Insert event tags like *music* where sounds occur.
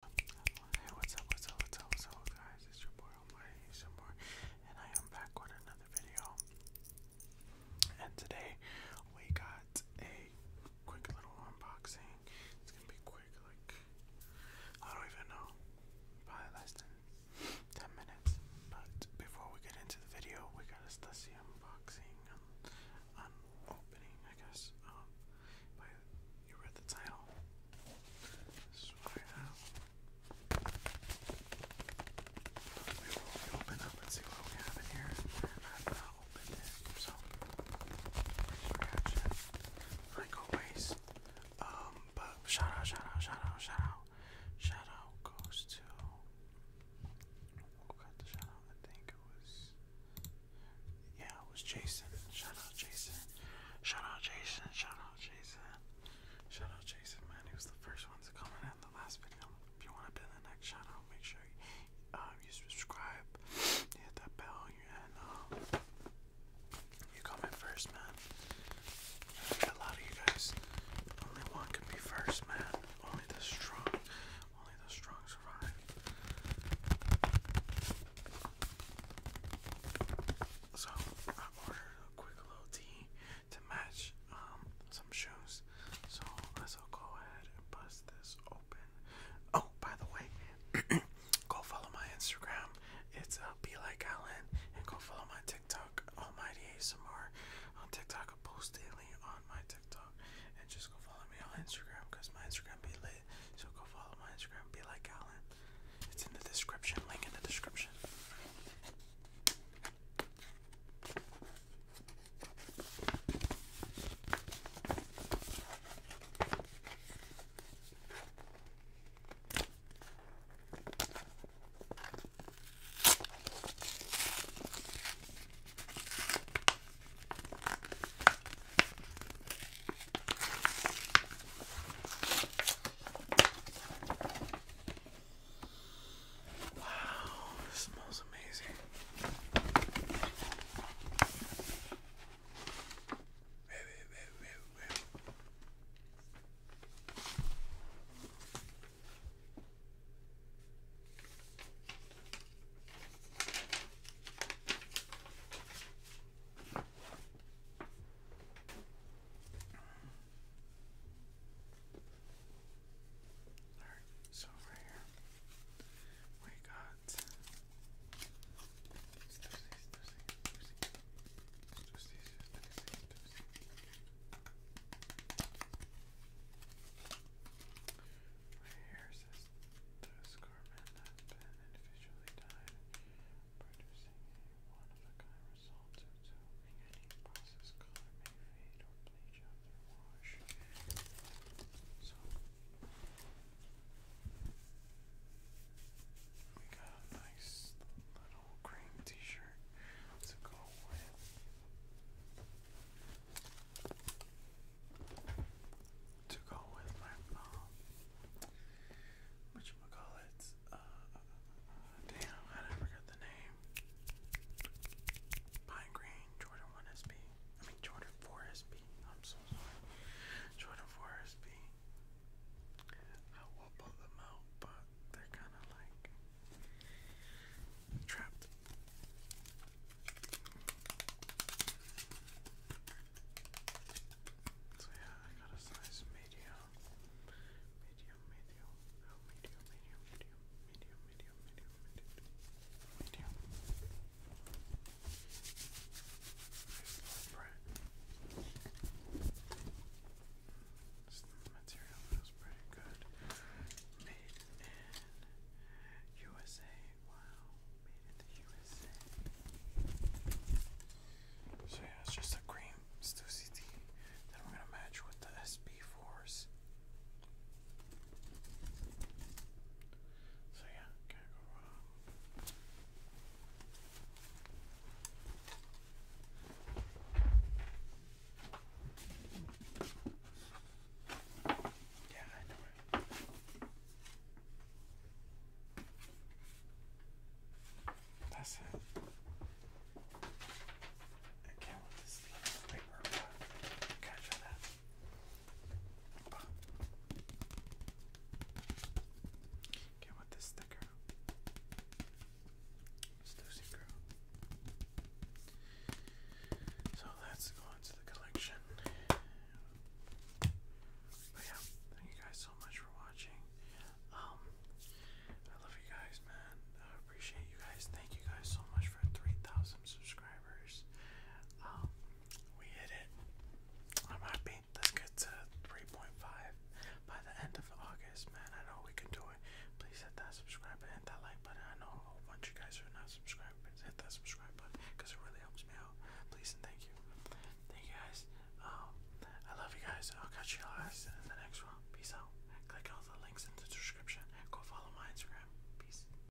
Hey, what's up, what's up, what's up, what's up, guys? It's your boy Omari, it's your boy, and I am back with another video. And today we got a quick little unboxing. It's gonna be quick, like, I don't even know, probably less than 10 minutes. But before we get into the video, we got us see unboxing, um, um, opening, I guess. Um, you read the title. This I have. Maybe we see what we have in here. I've not opened it, so scratch it. Um, but shout out, shout out, shout out, shout out. Shout out goes to it was. Yeah, it was Jason. Shout out Jason. Shout out Jason. Shout out Jason. Shout out Jason, man. He was the first one to comment in the last video. If you want to be the next shout out, make sure you, um, subscribe, hit that bell, and um, you comment first, man. A lot of you guys, only one can be first, man. Only the strong, only the strong survive. So I ordered a quick little tea to match um, some shoes. So let's go ahead and bust this open. Oh, by the way, *clears throat* go follow my Instagram. It's uh, be like Alan, and go follow my TikTok, Almighty ASMR. On TikTok, I post daily on my TikTok and just go follow me on Instagram because my Instagram be lit. So go follow my Instagram, be like Alan. It's in the description, link in the description. Wow, this smells amazing. Alright, so right here we got Let's do these, do these, do these, do these, do these, do these. Right here says the Scarman has been individually dyed, producing a one-of-a-kind result due to any process color may fade or bleach after wash. So we got nice little cream t-shirt to go with. To go with my mom. Which call it? Uh, uh, uh, damn, I never the name. Pine Green Jordan One SB. I mean Jordan Four SB. I'm so sorry. Jordan Four SB. I will pull them out, but they're kind of like trapped. So yeah, I got a size medium, medium, medium, oh, medium, medium, medium, medium, medium, medium, medium, medium. medium. Low bread. This material feels pretty good. Made in USA. Wow, made in the USA. So yeah, it's just a cream Stussy tea that we're gonna match with the SB4s. So yeah, can't go wrong. Um, yeah, I know it. That's it. Again with this paper, catch that. Get with this sticker. Stussy girl. So let's go the collection. But yeah, thank you guys so much for watching. Um, I love you guys, man. I appreciate you guys. Thank you guys so much for 3,000 subscribers. Um, we hit it. I'm happy. Let's get to 3.5 by the end of August, man. I know we can do it. Please hit that subscribe button, that like button. I know a whole bunch of guys are not subscribers. Hit that subscribe button because it really helps me out. Please and thank you. Thank you guys. Um, I love you guys. I'll catch you guys in the next one. Peace out. Click all the links in the description. Go follow my Instagram. Peace.